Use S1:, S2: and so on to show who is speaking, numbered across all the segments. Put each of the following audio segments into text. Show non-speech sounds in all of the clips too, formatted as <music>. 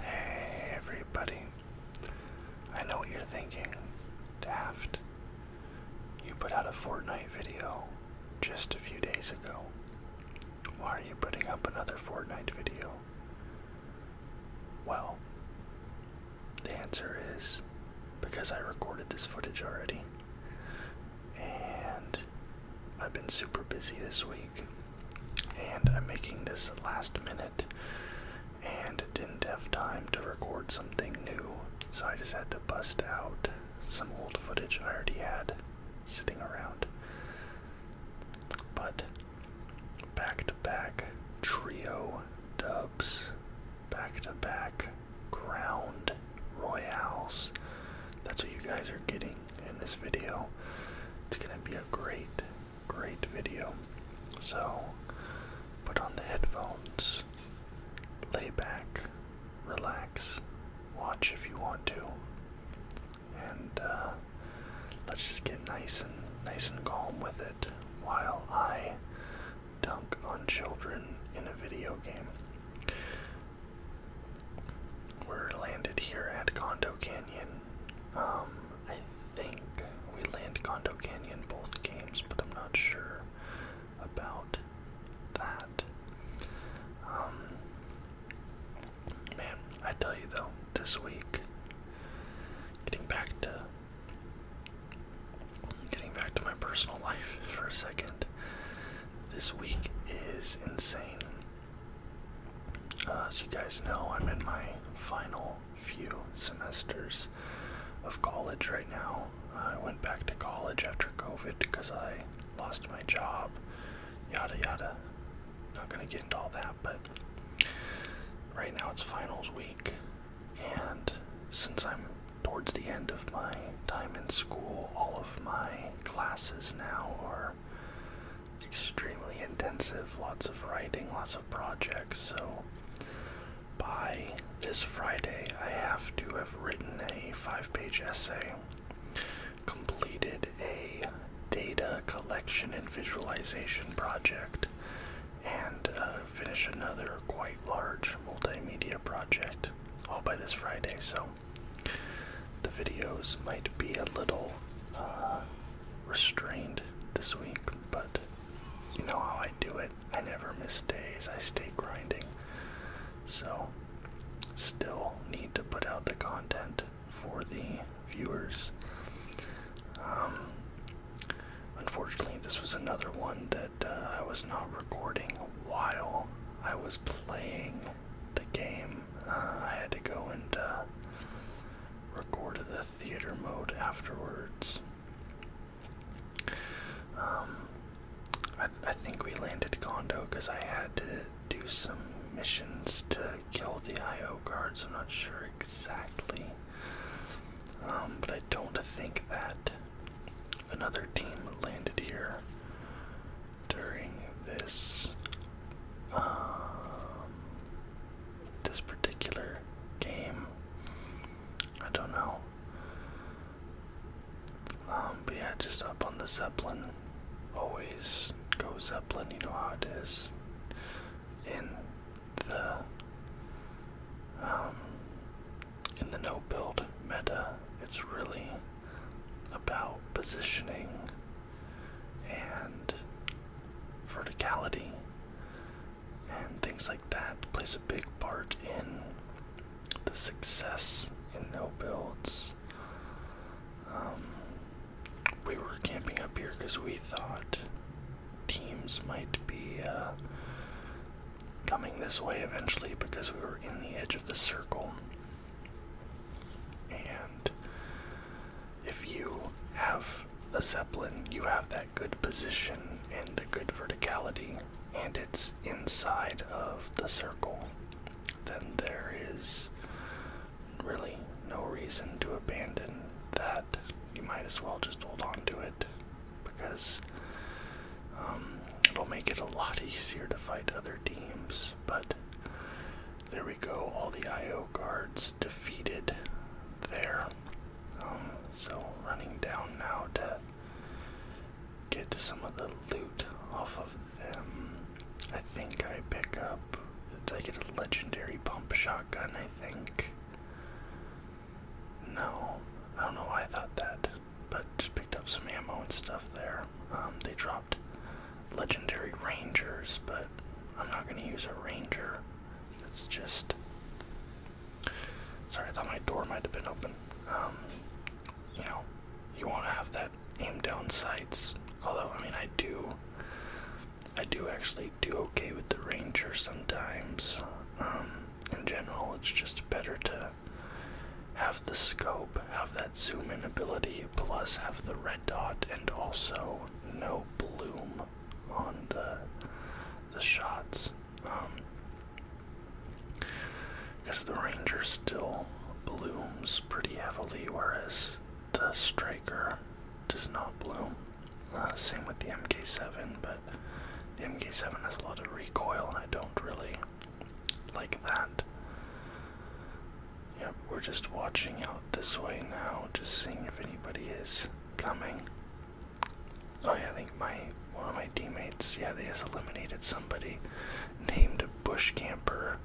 S1: Hey everybody. I know what you're thinking. Daft. You put out a Fortnite video just a few days ago. Why are you putting up another Fortnite video? Well, the answer is because I recorded this footage already. And I've been super busy this week and I'm making this last minute and didn't have time to record something new, so I just had to bust out some old footage I already had sitting around. But back to back trio dubs, back to back ground
S2: royals. That's what you guys are getting in this video. It's gonna be a great great video.
S1: So put on the headphones, lay back, relax, watch if you want to, and uh, let's just get nice and nice and calm with it while I dunk on children in a video game. We're landed here at Condo Canyon. Um, I think we land Condo Canyon both games, but I'm not sure about that. Um, man, I tell you though, this week, getting back to getting back to my personal life <laughs> for a second, this week is insane. Uh, as you guys know, I'm in my final few semesters of college right now. I went back to college after COVID because I lost my job, yada yada. Not gonna get into all that, but right now it's finals week, and since I'm towards the end of my time in school, all of my classes now are extremely intensive, lots of writing, lots of projects. So by this Friday, I have to have written a five page essay, completed a data collection
S2: and visualization
S1: project, and uh, finish another quite large multimedia project all by this Friday. So the videos might be a
S2: little uh, restrained this week, but you know
S1: how I do it. I never miss days, I stay grinding. So, still need to put out the content for the viewers. Um, unfortunately, this was another one that uh, I was not recording while I was playing the game. Uh, I had to go and uh, Recorded the theater mode afterwards. Um, I, I think we landed Gondo because I had to do some missions to kill the IO guards. I'm not sure exactly. Um, but I don't think that another team landed here during this um, this particular game. I don't know. Um, but yeah, just up on the Zeppelin. Always go Zeppelin, you know how it is. In the um, in the no build meta, it's really about positioning and verticality and things like that plays a big part in the success in no builds. Um, we were camping up here because we thought teams might be uh, coming this way eventually because we were in the edge of the circle. And if you have a Zeppelin, you have that good position and the good verticality, and it's inside of the circle, then there is really no reason to abandon that. You might as well just hold on to it because um, it'll make it a lot <laughs> easier to fight other teams. But there we go, all the IO cards defeated there. Um, so running down now to get some of the loot off of them. I think I pick up. Did I get a legendary pump shotgun? I think. No, I don't know why I thought that, but just picked up some ammo and stuff there. Um, they dropped legendary rangers, but I'm not going to use a ranger. It's just. Sorry, I thought my door might have been open. Um, you know, you want to have that aim down sights. Although, I mean, I do. I do actually do okay with the ranger sometimes. Um, in general, it's just better to have the scope, have that zoom in ability, plus have the red dot, and also no bloom on the the shots. because um, the ranger still blooms pretty heavily, whereas the striker does not bloom. Uh, same with the MK7, but the MK7 has a lot of recoil, and I don't really like that. Yep, we're just watching out this way now, just seeing if anybody is coming. Oh yeah, I think my one of my teammates, yeah, they just eliminated somebody named Bush Camper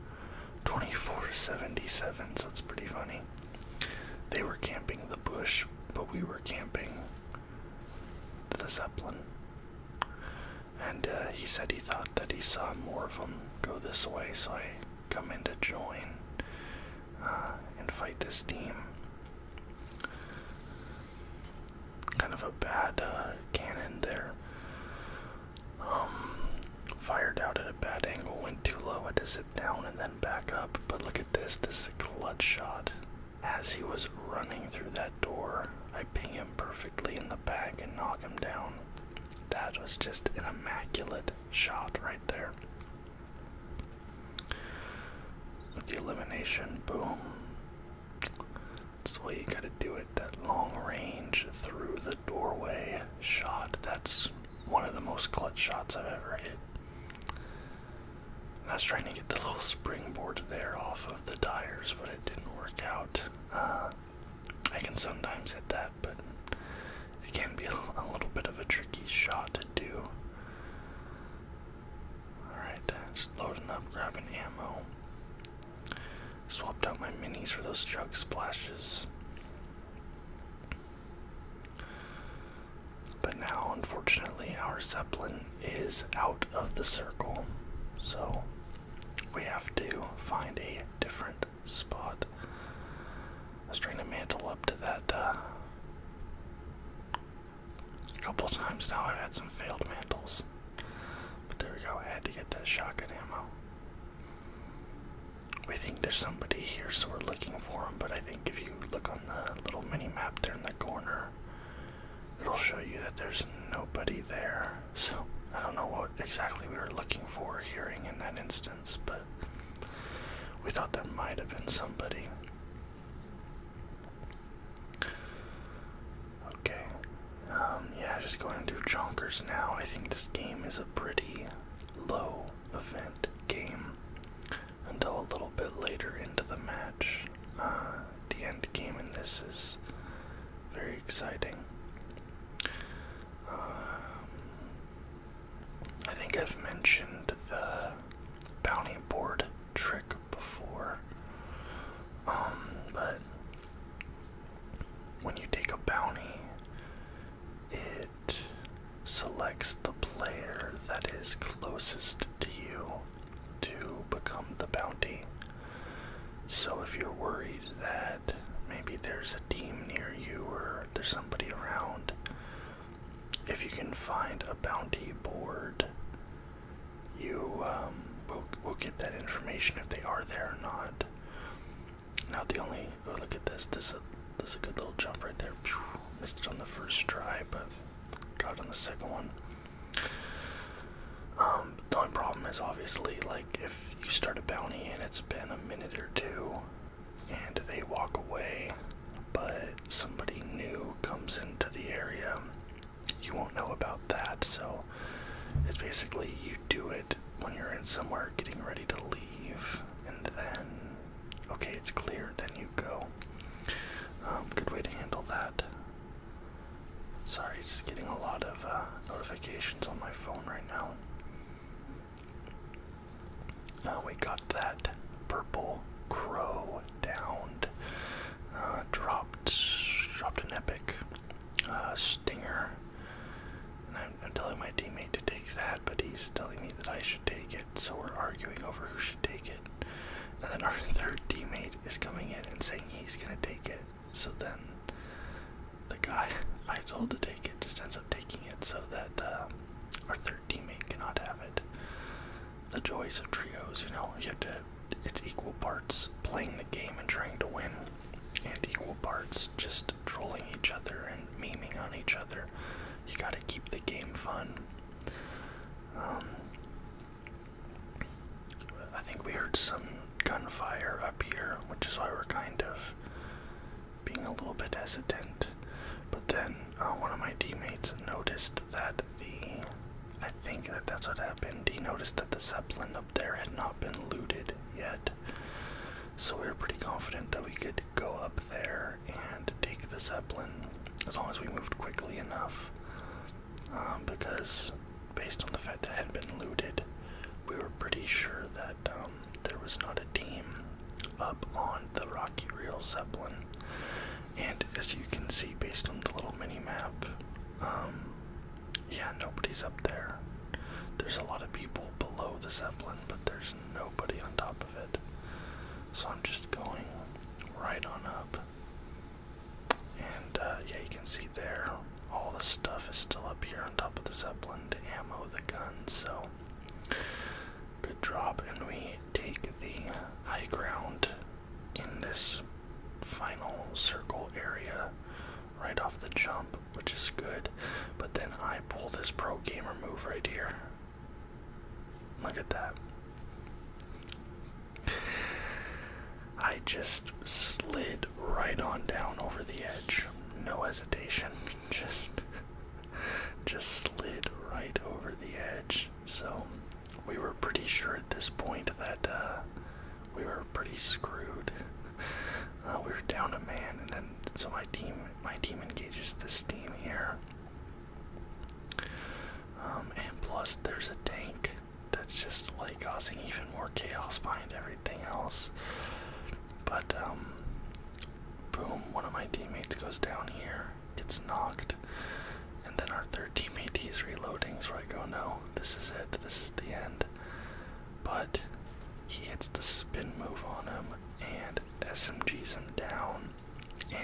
S1: 2477, so that's pretty funny. They were camping the bush, but we were camping the Zeppelin. And uh, he said he thought that he saw more of them go this way, so I come in to join uh, and fight this team. Kind of a bad uh, cannon there. Um, fired out at a bad angle, went too low, had to zip down and then back up. But look at this, this is a clutch shot. As he was running through that door, I ping him perfectly in the back and knock him down. That was just an immaculate shot right there. With the elimination, boom. That's the way you gotta do it. That long range through the doorway shot. That's one of the most clutch shots I've ever hit. I was trying to get the little springboard there off of the tires, but it didn't work out. Uh, I can sometimes hit that but it can be <laughs> a little bit of a tricky shot to do. Alright, just loading up, grabbing ammo. Swapped out my minis for those jug splashes. But now, unfortunately, our Zeppelin is out of the circle, so we have to find a different spot. I was trying to mantle up to that uh, a couple times now. I've had some failed mantles, but there we go. I had to get that shotgun ammo. We think there's somebody here, so we're looking for him. But I think if you look on the little mini map there in the corner,
S2: it'll show you that there's nobody there. So I don't know what exactly
S1: we were looking for, hearing in that instance but we thought there might have been somebody. Okay. Um, yeah, just going through Jonkers now. I think this game is a pretty low event game until a little bit later into the match. Uh, the end game in this is very exciting. Um, I think I've mentioned the bounty board trick before. Um, but when you take a bounty, it selects the player that is closest to you to become the bounty. So if you're worried that maybe there's a team near you or there's somebody around. If you can find a bounty board, you um, will will get that information if they are there or not. Now the only oh look at this this is a, this a good little jump right there. missed it on the first try, but got on the second one. Um, the only problem is obviously like if you start a bounty and it's been a minute or two and they walk away, but somebody new comes into the area. You won't know about that, so it's basically you do it when you're in somewhere getting ready to leave, and then, okay, it's clear, then you go. Um, good way to handle that. Sorry, just getting a lot of uh, notifications on my phone right now. Uh, we got that purple crow downed. Uh, dropped, dropped an epic uh, stinger. I'm telling my teammate to take that, but he's telling me that I should take it. So we're arguing over who should take it. And then our <laughs> third
S2: teammate is coming in and saying he's gonna take it. So then the guy
S1: <laughs> I told to take it just ends up taking it so that uh, our third teammate cannot have it. The joys of trios, you know, you have to, it's equal parts playing the game and trying to win, and equal parts just trolling each other and maiming on each other. You gotta keep the game fun. Um, I think we heard some gunfire up here, which is why we're kind of being a little bit hesitant. But then uh, one of my teammates noticed that the. I think that that's what happened. He noticed that the Zeppelin up there had not been looted yet. So we were pretty confident that we could go up there and take the Zeppelin as long as we moved quickly enough. Um, because based on the fact that it had been looted, we were pretty sure that um, there was not a team up on the Rocky Real Zeppelin. And as you can see, based on the little mini
S2: map, um, yeah, nobody's up there. There's a lot of
S1: people below the Zeppelin, but there's nobody on top of it. So I'm just going right on up. And uh, yeah, you can see there, all the stuff is still up here on top of the Zeppelin to ammo the gun, so good drop. And we take the high ground in this final circle area right off the jump, which is good. But then I pull this pro gamer move right here. Look at that. I just slid right on down over the edge. No hesitation. <laughs> just just slid right over the edge. So we were pretty sure at this point that uh, we were pretty screwed. <laughs> Uh, we were down a man, and then so my team my team engages this team here. Um, and plus, there's a tank that's just like causing even more chaos behind everything else. But um, boom, one of my teammates goes down here, gets knocked, and then our third teammate he's reloading. So I go, no, this is it, this is the end. But he hits the spin move on him and SMGs him down,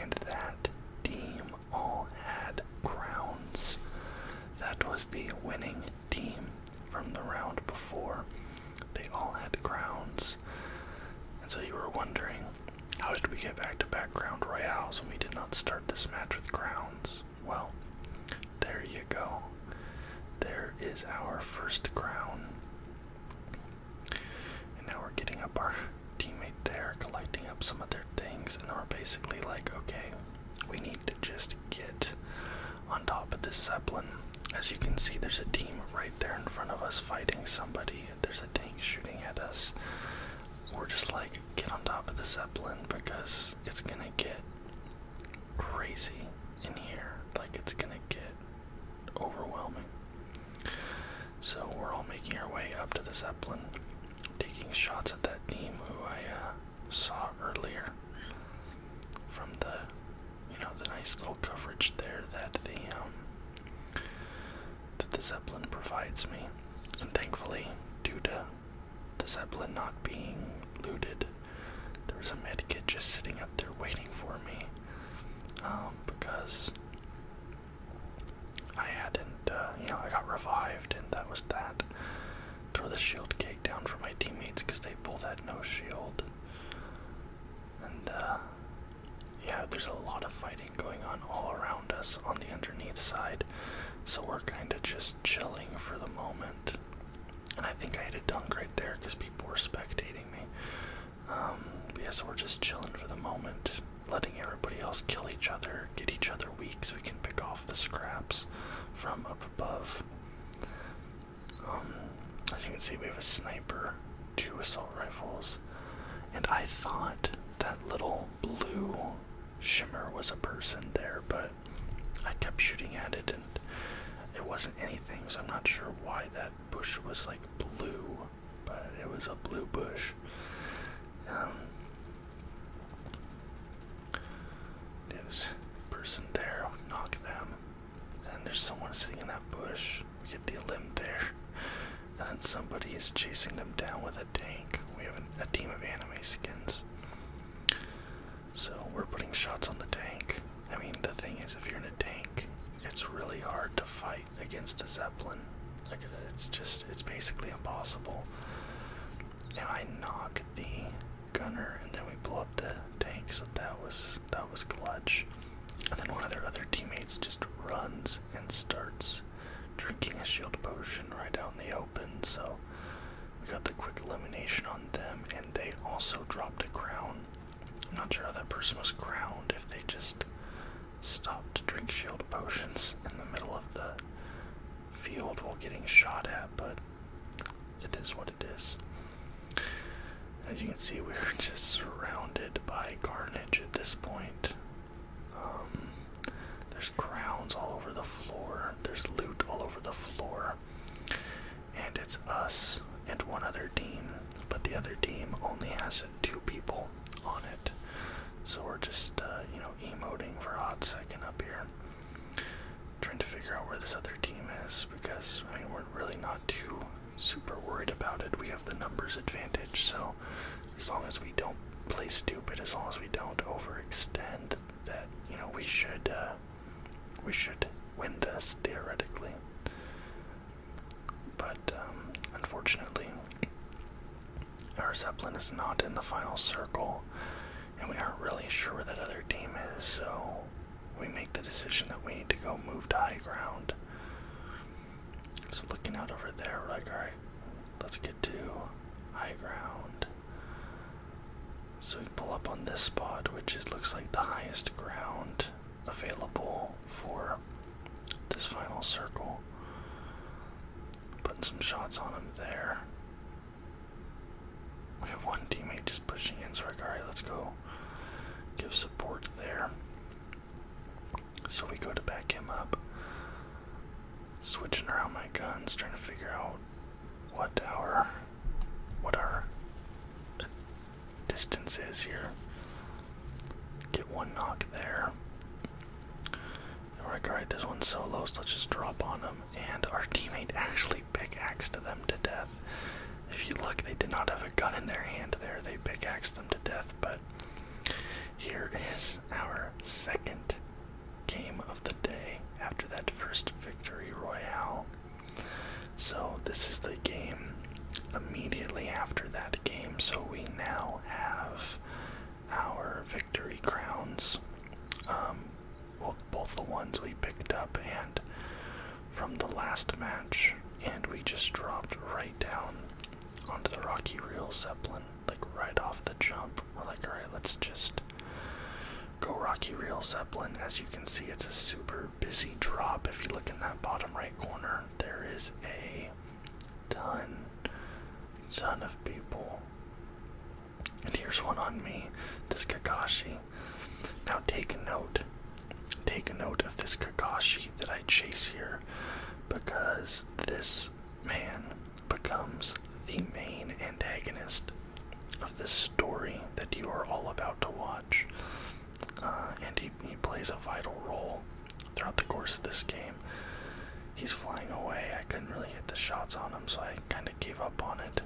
S1: and that team all had crowns. That was the winning team from the round before. They all had crowns. And so you were wondering, how did we get back to background royals when we did not start this match with crowns? Well, there you go. There is our first crown. And now we're getting up our teammate there, collecting up some of their things, and then we're basically like, okay, we need to just get on top of this Zeppelin. As you can see, there's a team right there in front of us fighting somebody. There's a tank shooting at us. We're just like, get on top of the Zeppelin because it's gonna get crazy in here. Like, it's gonna get overwhelming. So, we're all making our way up to the Zeppelin, taking shots at that team who I uh, saw earlier from the you know, the nice little coverage there that the um, that the Zeppelin provides me. And thankfully, due to the Zeppelin not being looted, there was a medkit just sitting up there waiting for me. Um, because I hadn't, uh, you know, I got revived, and that was that. Throw the shield cake down for my teammates because they both had no shield. And uh, yeah, there's a lot of fighting going on all around us on the underneath side, so we're kind of just chilling for the moment. And I think I had a dunk right there because people were spectating me. Um, yes, we're just chilling for the moment, letting everybody else kill each other, get each other weak so we can pick off the scraps from up above. Um, as you can see, we have a sniper, two assault rifles, and I thought that little blue shimmer was a person there, but I kept shooting at it and it wasn't anything, so I'm not sure why that bush was like blue, but it was a blue bush. Um, person there, knock them. And there's someone sitting in that bush. We get the limb there. And somebody is chasing them down with a tank. We have a team of anime skins. So we're putting shots on the tank. I mean, the thing is, if you're in a tank, it's really hard to fight against a Zeppelin. Like, it's just, it's basically impossible. And I knock the gunner, and then we blow up the tank. So that was that was clutch. And then one of their other teammates just runs and starts drinking a shield potion right out in the open. So we got the quick elimination on them, and they also dropped a crown. not sure how that person was crowned if they just stopped to drink shield potions in the middle of the field while getting shot at, but it is what it is. As you can see, we're <laughs> just surrounded by carnage at this point. Um, there's crowns all over the floor, there's loot all over the floor, and it's us and one other team, but the other team only has two people on it. So we're just, uh, you know, emoting for a hot second up here. Trying to figure out where this other team is because, I mean, we're really not too super worried about it. We have the numbers advantage, so as long as we don't play stupid, as long as we don't overextend, that you
S2: know we should uh, we should win this theoretically.
S1: But um, unfortunately, our Zeppelin is not in the final circle, and we aren't really sure where that other team is. So we make the decision that we need to go move to high ground. So looking out over there, we're like, alright, let's get to high ground. So we pull up on this spot, which looks like the highest ground available for this final circle. Putting some shots on him there. We have one teammate just pushing in, so I'm like, alright, let's go give support there. So we go to back him up. Switching around my guns, trying to figure out what our what our distance is here. Get one knock there. And we like, alright, this one's so low, so let's just drop on them." And our teammate actually to them to death. If you look, they did not have a gun in their hand there, they pickaxed them to death. But here is our second game of the day after that first victory royale. So, this is the game immediately after that game. So, we now have
S2: our victory crowns. Um, well, both the ones we picked
S1: up and from the last match, and we just dropped right down onto the Rocky Real Zeppelin, like right off the jump. We're like, alright, let's just go Rocky Real Zeppelin. As you can see, it's a super busy drop. If you look in that bottom right corner, there is a ton, ton of people. And here's one on me. This Kakashi. Now take a note. Take a note of this Kakashi that I chase here because this man becomes the main antagonist of this story that you are all about to watch. Uh, and he, he plays a vital role throughout the course of this game. He's flying away. I couldn't really hit the shots on him, so I kind of gave up on it.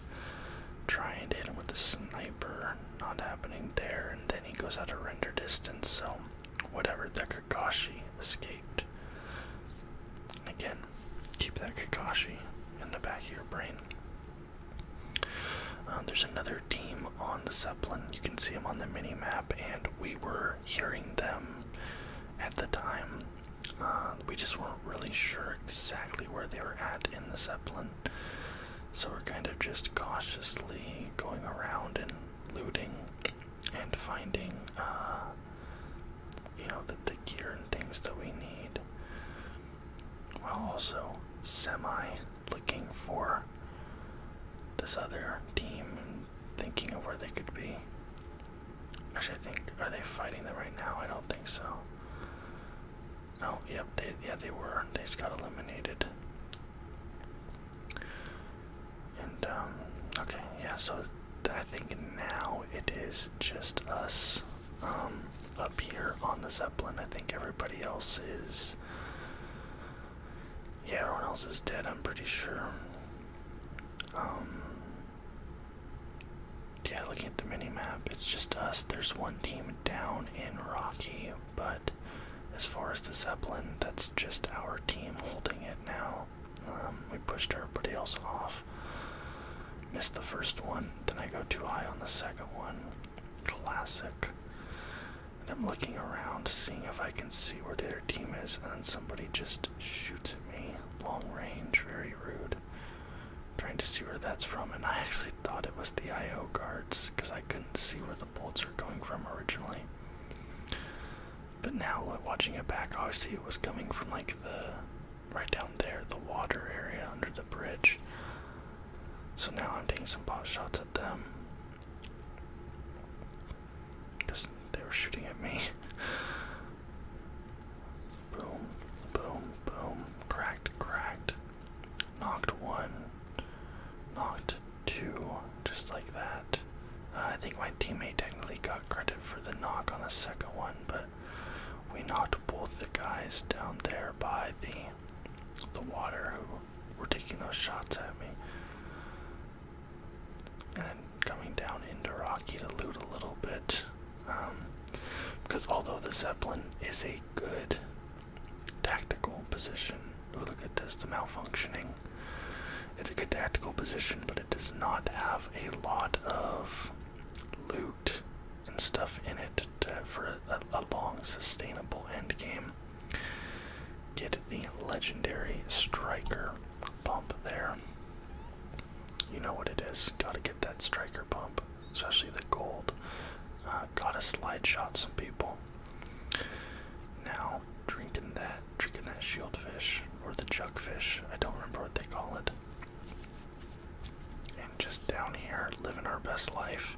S1: Trying and hit him with the sniper not happening there, and then he goes out of render distance, so whatever, that Kakashi escaped. Again, keep that Kakashi in the back of your brain. Uh, there's another team on the Zeppelin. You can see them on the mini map, and we were hearing them at the time. Uh, we just weren't really sure exactly where they were at in the Zeppelin. So we're kind of just cautiously going around and looting and finding, uh, you know, the gear and things that we need. While also semi looking for this other team and thinking of where they could be. Actually, I think, are they fighting them right now? I don't think so. Oh, yep, they, yeah, they were. They just got eliminated. And, um, okay, yeah, so I think now it is just us um, up here on the Zeppelin. I think everybody else is. Yeah, everyone else is dead, I'm pretty sure. Um, yeah, looking at the mini map, it's just us. There's one team down in Rocky, but as far as the Zeppelin, that's just our team holding it now. Um, we pushed everybody else off. Missed the first one, then I go too high on the second one. Classic. And I'm looking around, seeing if I can see where their team is, and then somebody just shoots at me. Long range, very rude trying to see where that's from, and I actually thought it was the IO guards because I couldn't see where the bolts are going from originally. But now, like, watching it back, obviously it was coming from like the right down there, the water area under the bridge. So now I'm taking some pot shots at them. Because they were shooting at me. <laughs> boom, boom, boom. Cracked, cracked knocked one,
S2: knocked two, just like that. Uh, I think my teammate technically got credit for
S1: the knock on the second one, but we knocked both the guys down there by the the water who were taking those shots at me. And coming down into Rocky to loot a little bit. Um, because although the Zeppelin is a good Tactical position. look at this, the malfunctioning. It's a good tactical position, but it does not have a lot of loot and stuff in it for a long, sustainable end game. Get the legendary striker bump there. You know what it is. Gotta get that striker bump especially the gold. Uh, gotta slide shot some people. Now, drinking that, drinking that shieldfish or the chuckfish, I don't remember what they call it. And just down here, living our best life.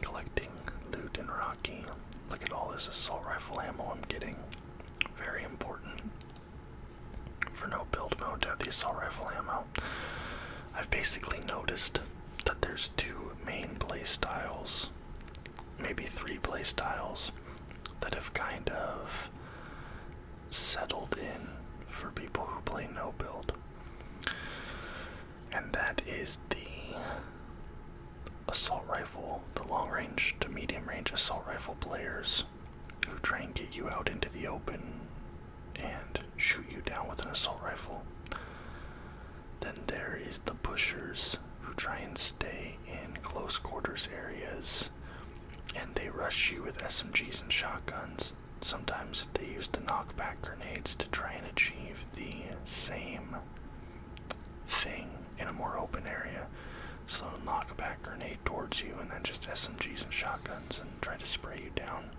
S1: Collecting loot and Rocky. Look at all this assault rifle ammo I'm getting. Very important for no build mode to have the assault rifle ammo. I've basically noticed that there's two main play styles, maybe three play styles, that have kind
S2: of settled in for people who play no build. And that is the
S1: assault rifle, the long range to medium range assault rifle players who try and get you out into the open and shoot you down with an assault rifle. Then there is the pushers who try and stay in close quarters areas and they rush you with SMGs and shotguns. Sometimes they use the knockback grenades to try and achieve the same thing in a more open area. So knockback grenade towards you, and then just SMGs and shotguns and try to spray you down.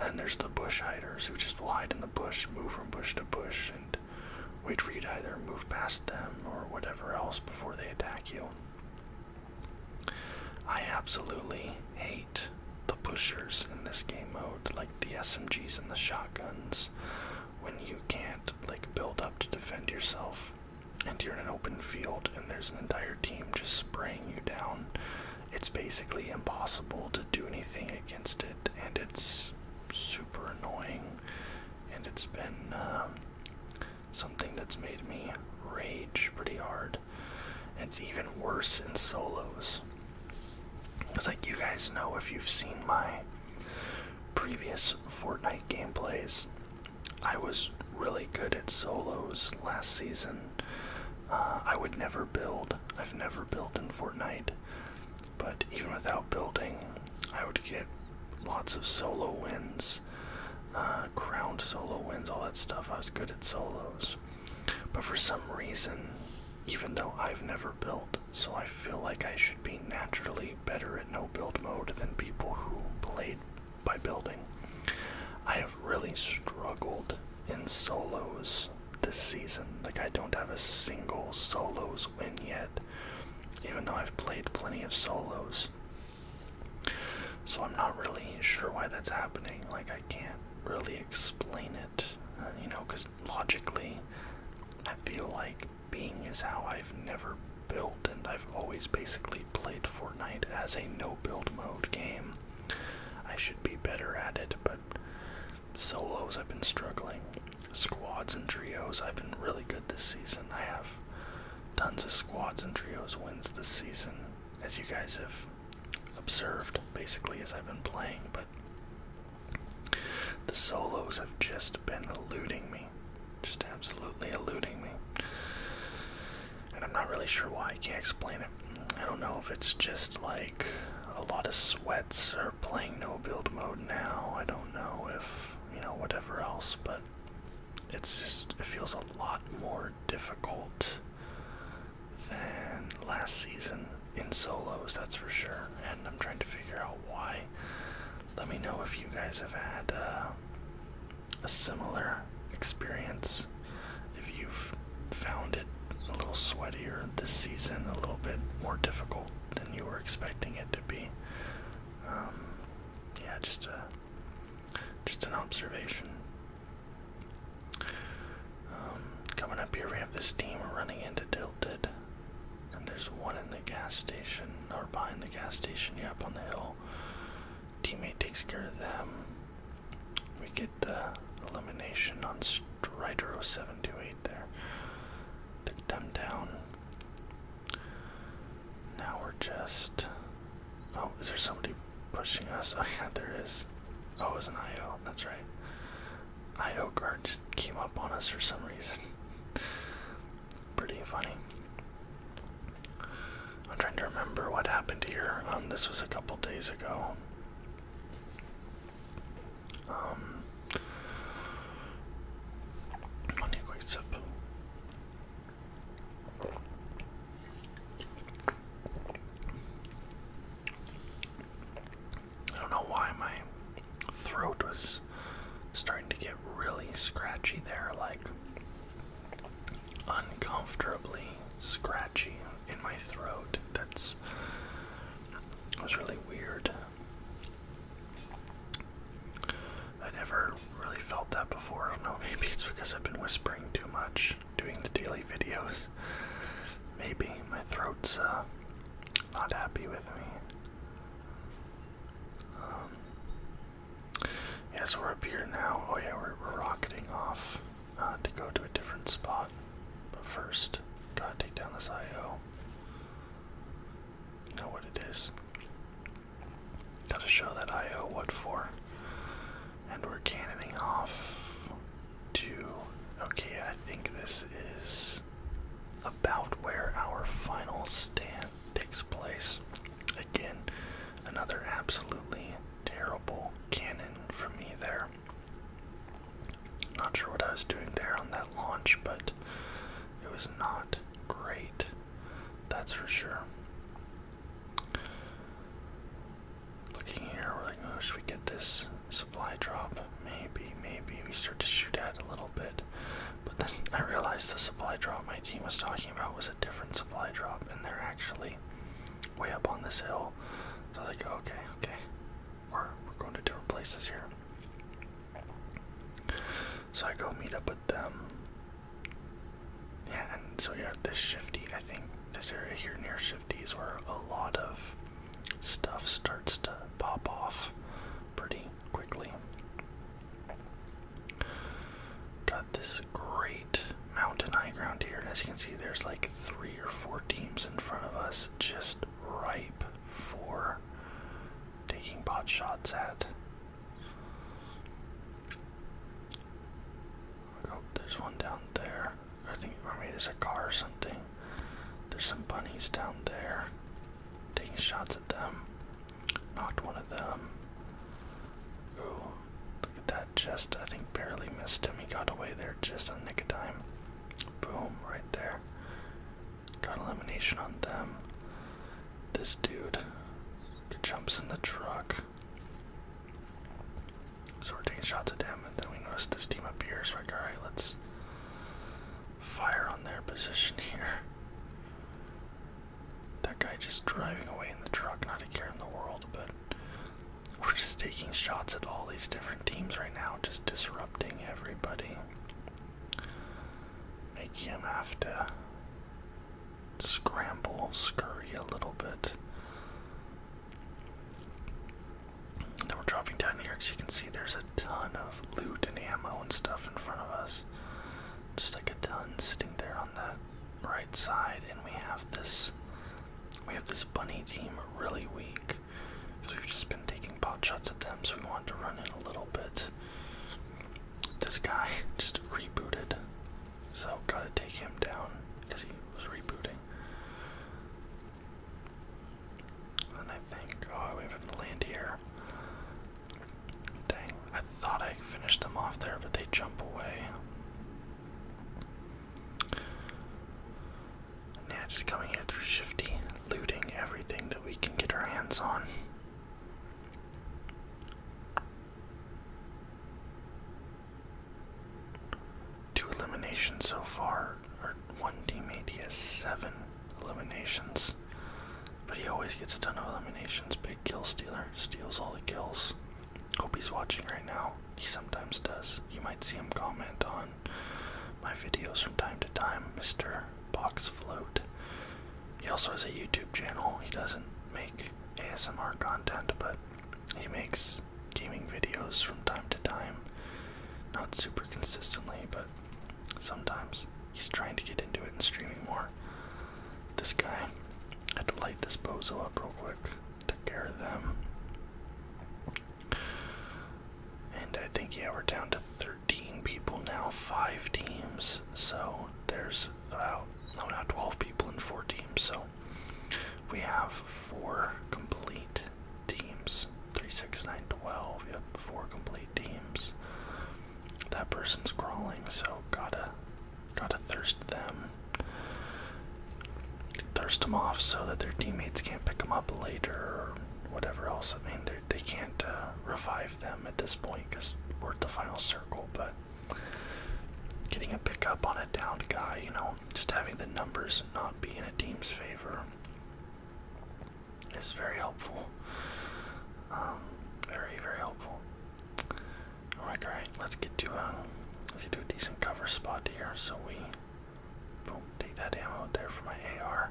S1: And there's the bush hiders who just hide in the bush, move from bush to bush, and wait for you to either move past them or whatever else before they attack you. I absolutely hate the pushers in this game mode, like the SMGs and the shotguns, when you can't like build up to defend yourself and you're in an open field and there's an entire team just spraying you down, it's basically impossible to do anything against it, and it's super annoying. And it's been um, something that's made me rage pretty hard. it's even worse in solos. Because, like, you guys know if you've seen my previous Fortnite gameplays, I was really good at solos last season. Uh, I would never build. I've never built in Fortnite. But even without building, I would get lots of solo wins, uh, crowned solo wins, all that stuff. I was good at solos. But for some reason, even though I've never built, so I feel like I should be naturally better at no build mode than people who played by building. I have really struggled in solos this season. Like, I don't have a single solos win yet, even though I've played plenty of solos. So, I'm not really sure why that's happening. Like, I can't really explain it, uh, you know, because logically, I feel like being is how I've never build, and I've always basically played Fortnite as a no build mode game. I should be better at it, but solos I've been struggling. Squads and trios I've been really good this season. I have tons of squads and trios wins this season, as you guys have observed basically as I've been playing, but the solos have just been eluding me. Just absolutely eluding me. And I'm not really sure why. I can't explain it. I don't know if it's just like a lot of sweats or playing no build mode now. I don't know if, you know, whatever else, but it's just, it feels a lot more difficult than last season in solos, that's for sure. And I'm trying to figure out why. Let me know if you guys have had, uh, a similar experience if you've found it a little sweeter this season, a little bit more difficult than you were expecting it to be. Um, yeah, just a just an observation. Um, coming up here, we have this team running into Tilted, and there's one in the gas station, or behind the gas station, yeah, up on the hill. Teammate takes care of them. We get the elimination on Strider 0728 there. Took them down. Now we're just.
S2: Oh, is there somebody pushing us? <laughs> Ah, there is. Oh, it was an IO. That's
S1: right. IO guard just came up on us for some reason. <laughs> Pretty funny. I'm trying to remember what happened here. Um, this was a couple days ago. Um, I quick sip. I don't know why my throat was starting to get really scratchy there, like uncomfortably scratchy in my throat. That's was really weird. I never really felt that before. I don't know, <laughs> maybe it's because I've been whispering too much doing the daily videos. Maybe my throat's uh, not happy with me. Um, Yes, we're up here now. Oh yeah, we're, rocketing off uh, to go to a different spot. But first, gotta take down this IO. You know what it is. Gotta show that IO what for. And we're cannoning off to. Okay, I think this is about where our final stand takes place. Again, another absolutely terrible cannon for me there. Not sure what I was doing there on that launch, but it was not great. That's for sure. Looking here, we're like, oh, should we get this supply drop? Maybe, maybe. We start to shoot at a little bit. But then <laughs> I realized the supply drop my team was talking about was a different supply drop, and they're actually way up on this hill. So I was like, okay, okay, we're, we're going to different places here. So I go meet up with them. Yeah, and so yeah, this shifty, I think this area here near shifty is where a lot of stuff starts to pop off pretty quickly. Got this great mountain high ground here, and as you can see, there's like three or four teams in front of us just ripe for taking pot shots at. Oh, there's one down there. I think maybe there's a car or something. There's some bunnies down there. Taking shots at them. Knocked one of them. Ooh, look at that. Just, I think, barely missed him. He got away there just a nick of time. Boom, right there. Got elimination on them. This dude jumps in the truck. So we're taking shots at them, and then we notice this team up here. So, like, alright, let's fire on their position <laughs> here. That guy just driving away in the truck, not a care in the world, but we're just taking shots at all these different teams right now, just disrupting everybody. Making him have to scramble, scurry a little bit. Then we're dropping down here because you can see there's a ton of loot and ammo and stuff in front of us. Just like a ton sitting there on that right side, and we have this we have this bunny team really weak because we've just been taking pot shots at them, so we wanted to run in a little bit. This guy <laughs> just rebooted, so gotta take him down because he was rebooting. And I think, oh, we have him land here. Dang, I thought I finished them off there, but they jump away. Yeah, just coming here through Shifty, looting everything that we can get our hands on. Two eliminations so far, or one teammate, he has seven eliminations. But he always gets a ton of eliminations. Big kill stealer. Steals all the kills. Hope he's watching right now. He sometimes does. You might see him comment on my videos from time to time, Mr. Box Float. He also has a YouTube channel. He doesn't make ASMR content, but he makes gaming videos from time to time. Not super consistently, but sometimes. He's trying to get into it and streaming more. This guy. I had to light this bozo up real quick. Take care of them. And I think, yeah, we're down to 13 people now, 5 teams. So there's about, no, now 12 people in 4 teams. So we have 4 complete teams three, six, nine, twelve. 6, 9, Yep, 4 complete teams. That person's crawling, so gotta Try to thirst them. Thirst them off so that their teammates can't pick them up later or whatever else. I mean, they can't uh, revive them at this point because we're at the final circle, but getting a pickup on a downed guy, you know, just having the numbers not be in a team's favor is very helpful. Um, very, very helpful. Alright, great. Let's get to a, um, let's get to a decent cover spot here. So we, boom, take that ammo there for my AR.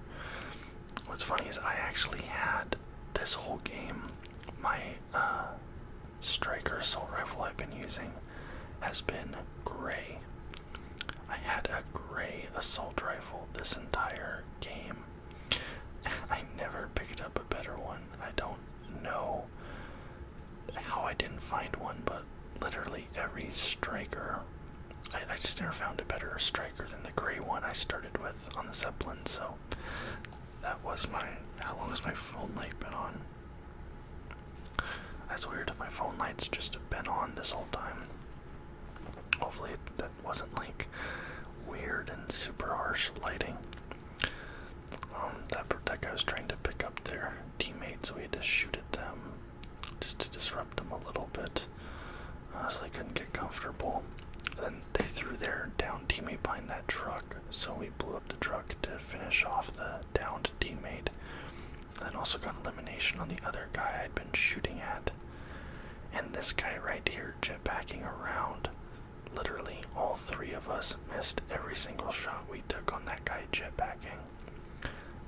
S1: What's funny is I actually had this whole game, my uh, striker assault rifle I've been using has been gray. I had a gray assault rifle this entire game. I never picked up a better one.
S2: I don't know how I didn't find one, but literally
S1: every striker. I, just never found a better striker than the gray one I started with on the Zeppelin, so that was my. How long has my phone light been on? That's weird, my phone light's just been on this whole time. Hopefully, that wasn't like weird and super harsh lighting. Um, that that guy was trying to pick up their teammate, so we had to shoot at them just to disrupt them a little bit, uh, so they couldn't get comfortable. then they threw their down teammate behind that truck, so we blew up the truck to finish off the downed teammate. then also got elimination on the other guy I'd been shooting at. And this guy right here jetpacking around Literally, all three of us missed every single shot we took on that guy jetpacking.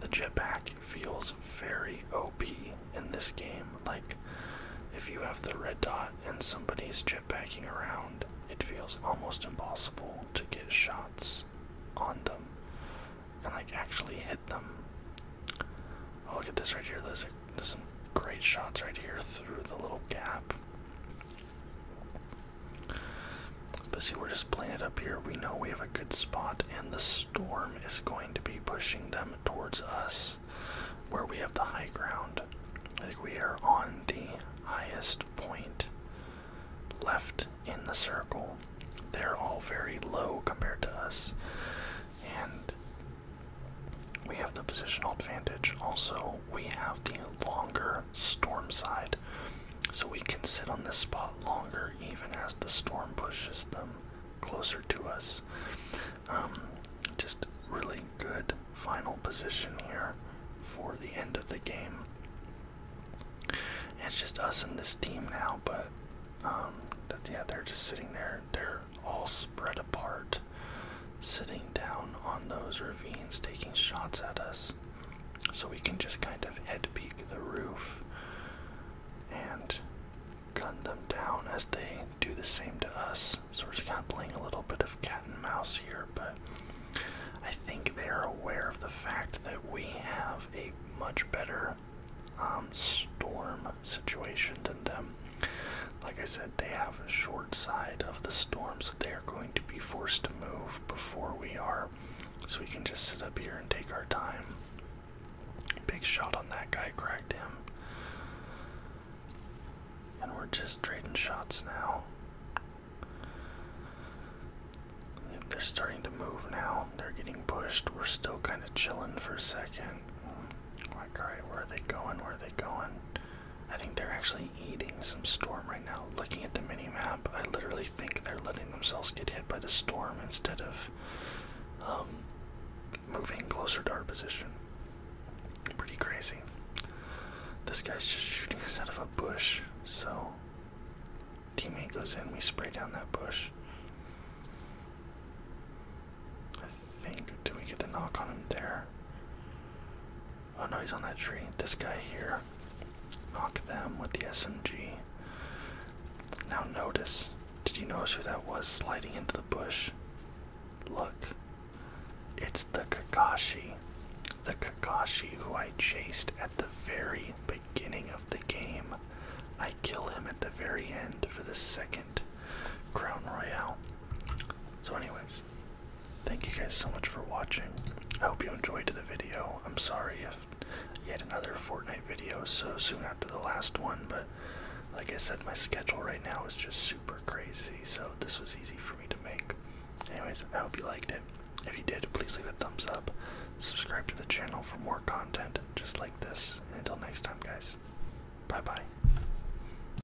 S1: The jetpack feels very OP in this game. Like, if you have the red dot and somebody's jetpacking around, it feels almost impossible to get shots on them and, like, actually hit them. Oh, look at this right here. There's a some great shots right here through the little gap. But see, we're just planted up here. We know we have a good spot, and the storm is going to be pushing them towards us where we have the high ground. I think we are on the highest point left in the circle. They're all very low compared to us. And we have the positional advantage. Also, we have the longer storm side. So we can sit on this spot longer even as the storm pushes them closer to us. Um, just really good final position here for the end of the game.
S2: It's just us and this team now, but um, yeah, they're just
S1: sitting there. They're all spread apart, sitting down on those ravines, taking shots at us. So we can just kind of head peek the roof and gun them down as they do the same to us. So we're just kind of playing a little bit of cat and mouse here, but I think they are aware of the fact that we have a much better um, storm situation than them. Like I said, they have a short side of the storm, so they are going to be forced to move before we are. So we can just sit up here and take our time. Big shot on that guy, cracked him. And we're just trading shots now. they're starting to move now. They're getting pushed. We're still kind of chilling for a second. alright, oh where are they going? Where are they going? I think they're actually eating some storm right now. Looking at the mini map, I literally think they're letting themselves get hit by the storm instead of um, moving closer to our position. Pretty crazy. This guy's just shooting us out of a bush, so teammate goes in, we spray down that bush think. Do we get the knock on him there? Oh no, he's on that tree. This guy here. Knock them with the SMG. Now notice. Did you notice who that was sliding into the bush? Look. It's the Kakashi. The Kakashi who I chased at the very beginning of the game. I kill him at the very end for the second Crown Royale. So anyways, Thank you guys so much for watching. I hope you enjoyed the video. I'm sorry if yet another Fortnite video so soon after the last one, but like I said, my schedule right now is just super crazy, so this was easy for me to make. Anyways, I hope you liked it. If you did, please leave a thumbs
S2: up. Subscribe to the channel for more content just like this. until next time, guys, bye bye.